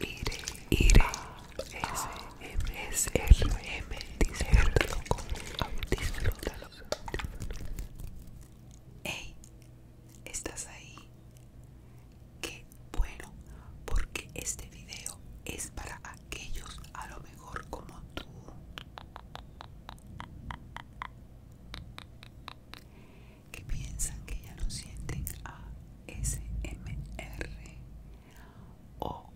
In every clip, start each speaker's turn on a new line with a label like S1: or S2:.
S1: Iré, iré, M disfrútalo con disfrútalo. Hey, ¿estás ahí? Qué bueno, porque este video es para aquellos a lo mejor como tú. Que piensan que ya no sienten a SMR o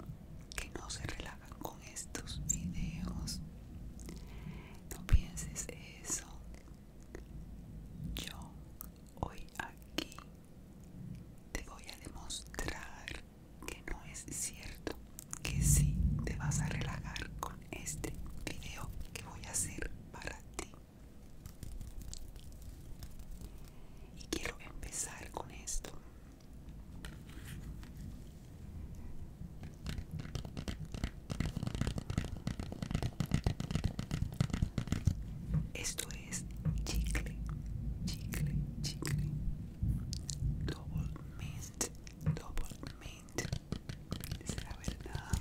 S1: que no se relajan con estos videos. No pienses eso. Yo hoy aquí te voy a demostrar que no es cierto, que sí te vas a relajar con este video que voy a hacer para ti. Y quiero empezar con esto. Esto es chicle, chicle, chicle. Double mint, double mint. Es la verdad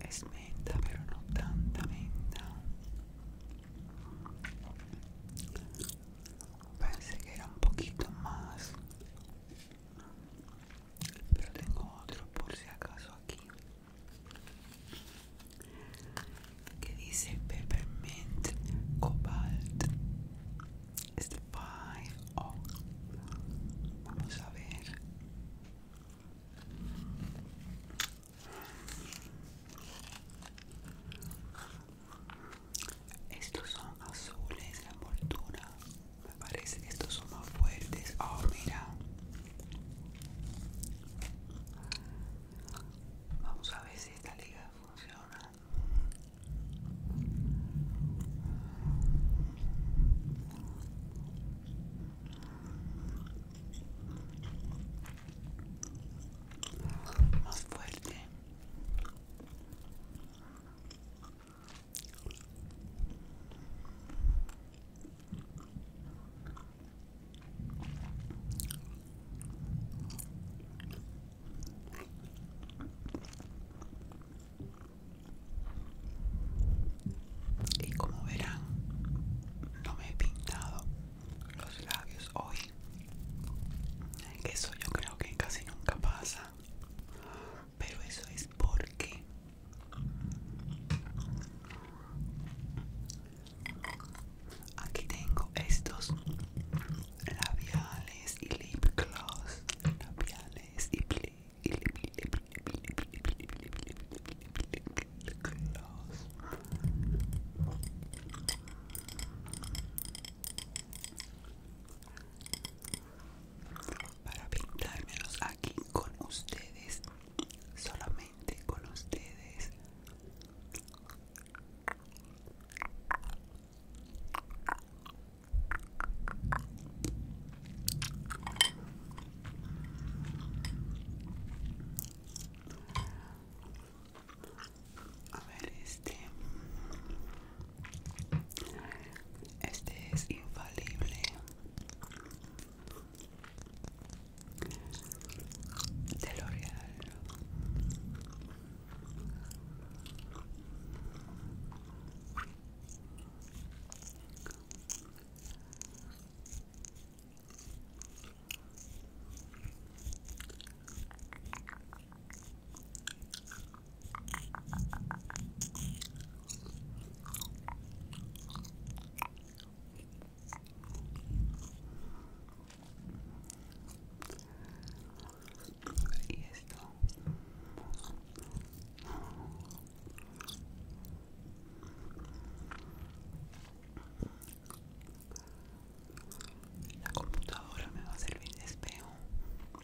S1: Es menta, pero no tanta menta pensé que era un poquito más pero tengo otro por si acaso aquí que dice peppermint cobalt Spy oh. vamos a ver estos son azules, la envoltura. Me parece que estos son más fuertes. Oh, mira. Vamos a ver si esta liga funciona. Más fuerte. Y como verán, no me he pintado los labios hoy. que Eso yo creo que casi nunca pasa pero eso es porque aquí tengo estos labiales y lip gloss labiales y lip gloss para pintármelos aquí con ustedes solamente con ustedes a ver este este es infalible de L'Oreal y esto la computadora me va a servir de espejo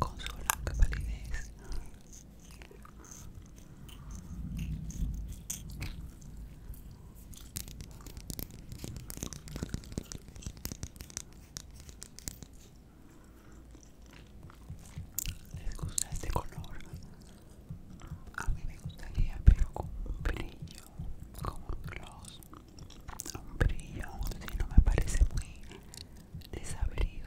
S1: Con su blanca palidez les gusta este color a mí me gustaría pero con un brillo con un gloss un brillo si no me parece muy desabrido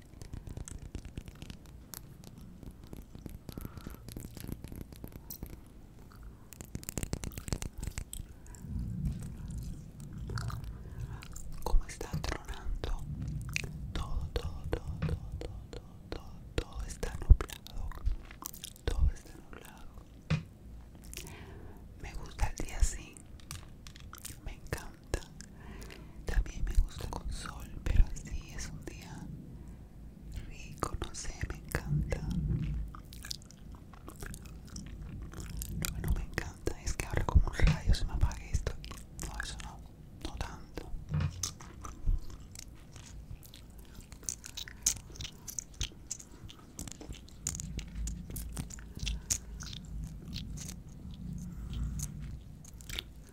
S1: Como está tronando, todo, todo, todo, todo, todo, todo, todo, todo está nublado, todo está nublado. Me gusta el día así, me encanta. También me gusta con sol, pero así es un día rico, no sé, me encanta. Lo que no me encanta es que ahora como un rayo se me apague esto No, eso no, no tanto.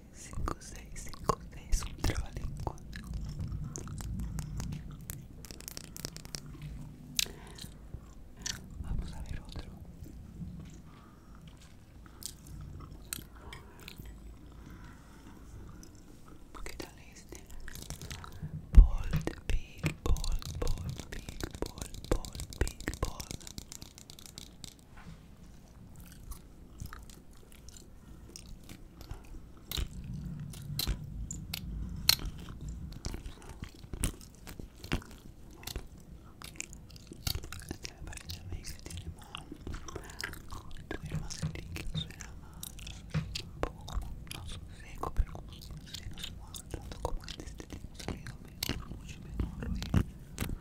S1: 5, 6, 5, 6, un trabalenguas Vamos a ver otro. ¿Qué tal este? Bold, big, Ball, bold, big, bold, bold, big, bold. me parece a mí que tiene más tiene más líquido será más un poco como no seco pero como si no se nos mueva tanto como antes teníamos salido mejor mucho mejor y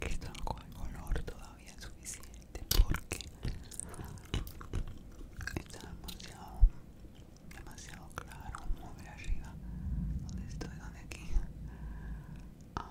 S1: Esto no coge color todavía es suficiente porque está demasiado, demasiado claro. Vamos a ver arriba donde estoy, donde aquí. Ah.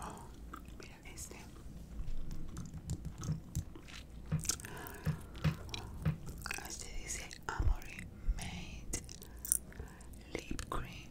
S1: Oh, mira este. Este dice Amory Made Lip Cream.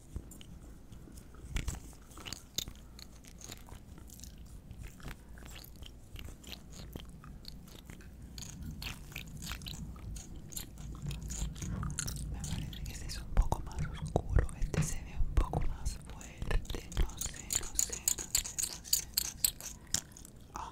S1: Me parece que este es un poco más oscuro, este se ve un poco más fuerte, no sé, no sé, no sé, no sé, no sé. Ah.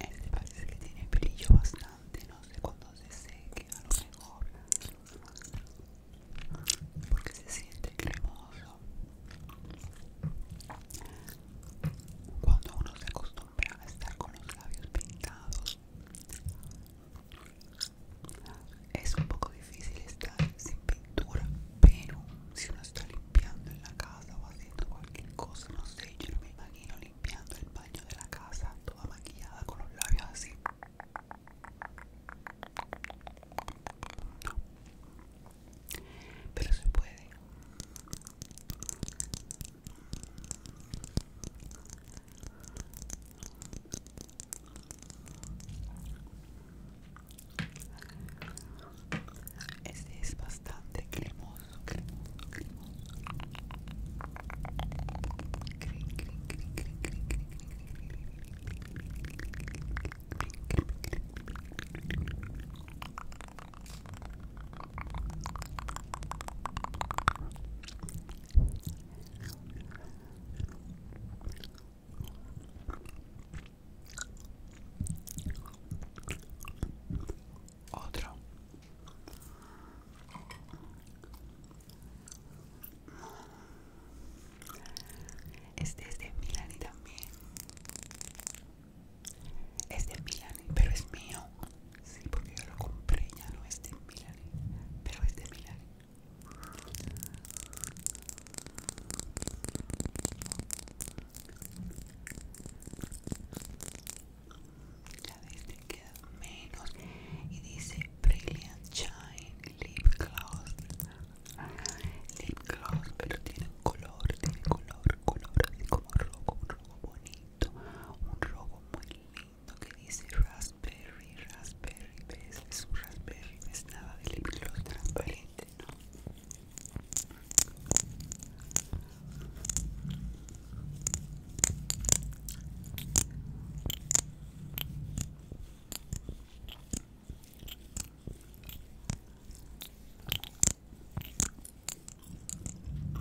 S1: Este parece que tiene brillo bastante, no sé cuándo se seque, a lo mejor porque se siente cremoso. Cuando uno se acostumbra a estar con los labios pintados, es un poco difícil estar sin pintura, pero si uno está limpiando en la casa o haciendo cualquier cosa, no sé, yo me imagino limpiando el baño de la casa toda maquillada con los labios así. Pero se puede. Este es bastante cremoso, cremoso, cremoso. Otro. Este es de Milani también. Es de Milani, pero es mío. Sí, porque yo lo compré, ya no es de Milani, pero es de Milani ya ves te queda menos y dice Brilliant Shine Lip Gloss Lip Gloss pero tiene color, tiene color, color así como rojo, un rojo bonito, un rojo muy lindo lo que dice raspberry, raspberry, ¿ves? Es un raspberry, no es nada de transparente, ¿no?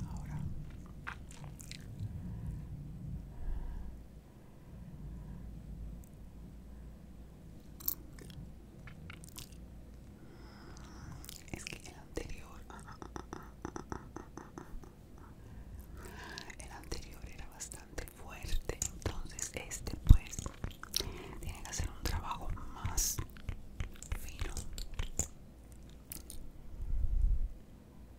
S1: Ahora es que el anterior, el anterior era bastante fuerte, entonces este pues tiene que hacer un trabajo más fino.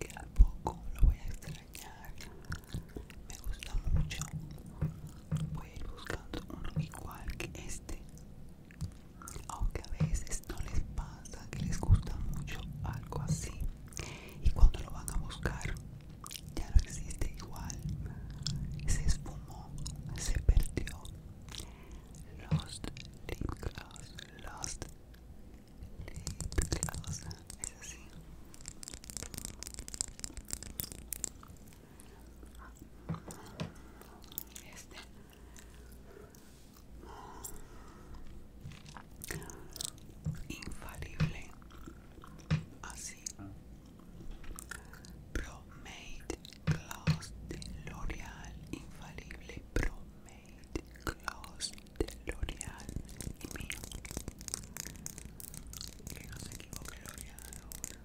S1: Que poco lo voy a extrañar. Me gusta mucho voy a ir buscando uno igual que este aunque a veces no les pasa que les gusta mucho algo así y cuando lo van a buscar ya no existe igual se esfumó se perdió Lost Lip Gloss Lost Lip es así este. Infalible. Así. Pro Promade Gloss de L'Oreal. Infalible Pro Promade Gloss de L'Oreal. Y mío. Que no se equivoque L'Oreal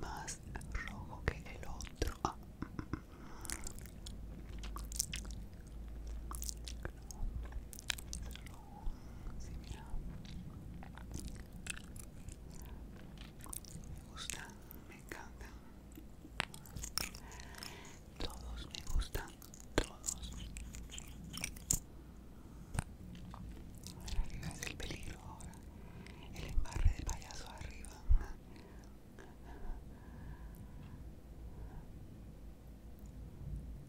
S1: Más rojo que el otro. Ah, mm, mm, mm. sí, me gustan, me encantan. Todos me gustan, todos. Arriba es el peligro ahora. El embarre del payaso arriba.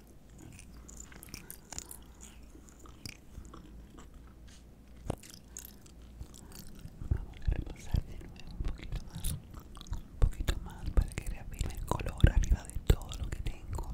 S1: Vamos a reposar de nuevo un poquito más, un poquito más para que reafirme el color arriba de todo lo que tengo.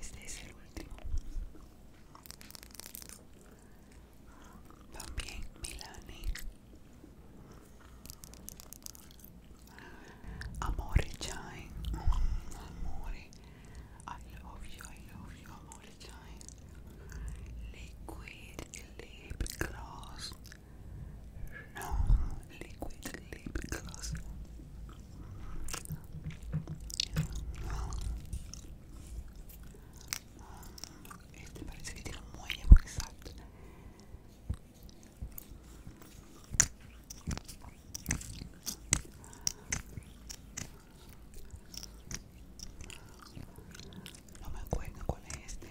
S1: Este es el último. También Milani. Amore Chai. Amore. I love you, I love you, Amore Chai. Liquid lip gloss. No, liquid lip gloss. Este parece que tiene un muelle exacto No me acuerdo cuál es este.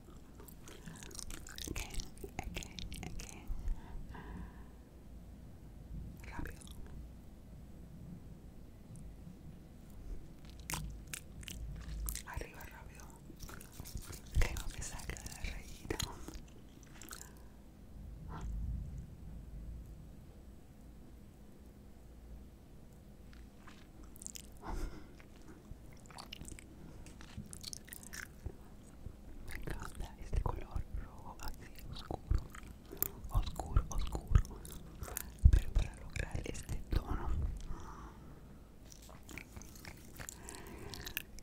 S1: Again, again, again. Rápido. Arriba rápido. Tengo que sacar la rayita. Me encanta este color rojo así oscuro, oscuro, oscuro. Pero para lograr este tono,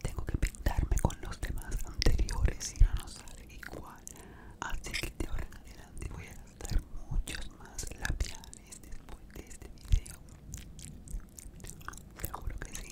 S1: tengo que pintarme con los demás anteriores y no nos sale igual. Así que de ahora en adelante voy a gastar muchos más labiales después de este video. Te juro que sí.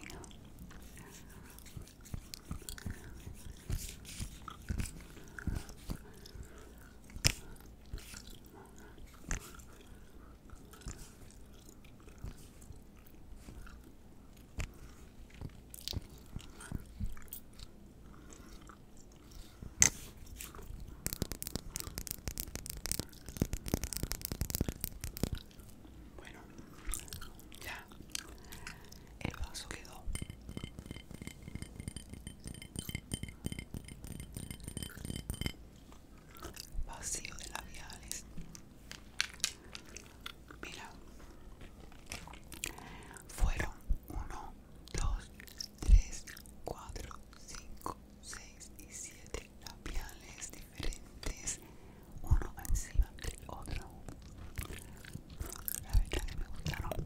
S1: Bueno, ya. El vaso quedó. Vacío de labiales. Mira. Fueron 1, 2, 3, 4, 5, 6 y 7 labiales diferentes uno encima del otro la verdad me gustaron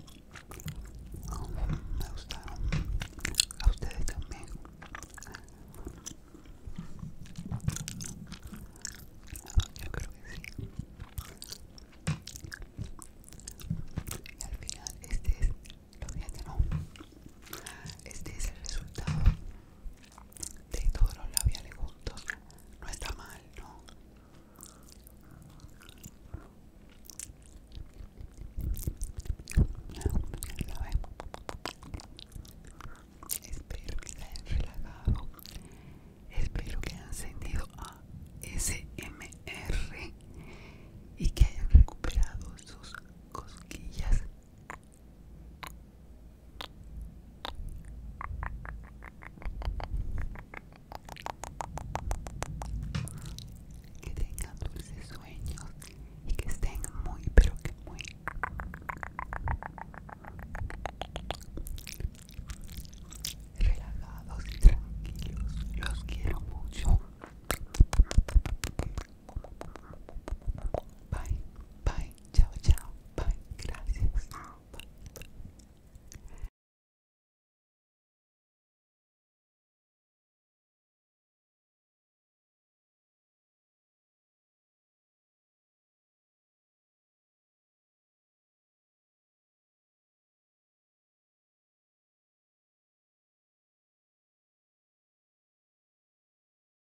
S1: me gustaron a ustedes también yo creo que sí y al final este es lo que no este es el resultado de todos los labiales juntos no está mal no espero que se hayan relajado espero que hayan sentido smr y que hayan recuperado sus cosquillas que tengan dulces sueños y que estén muy, pero que muy relajados y tranquilos. Los quiero mucho. Bye, bye, bye, chao chao, bye, gracias. Bye, bye.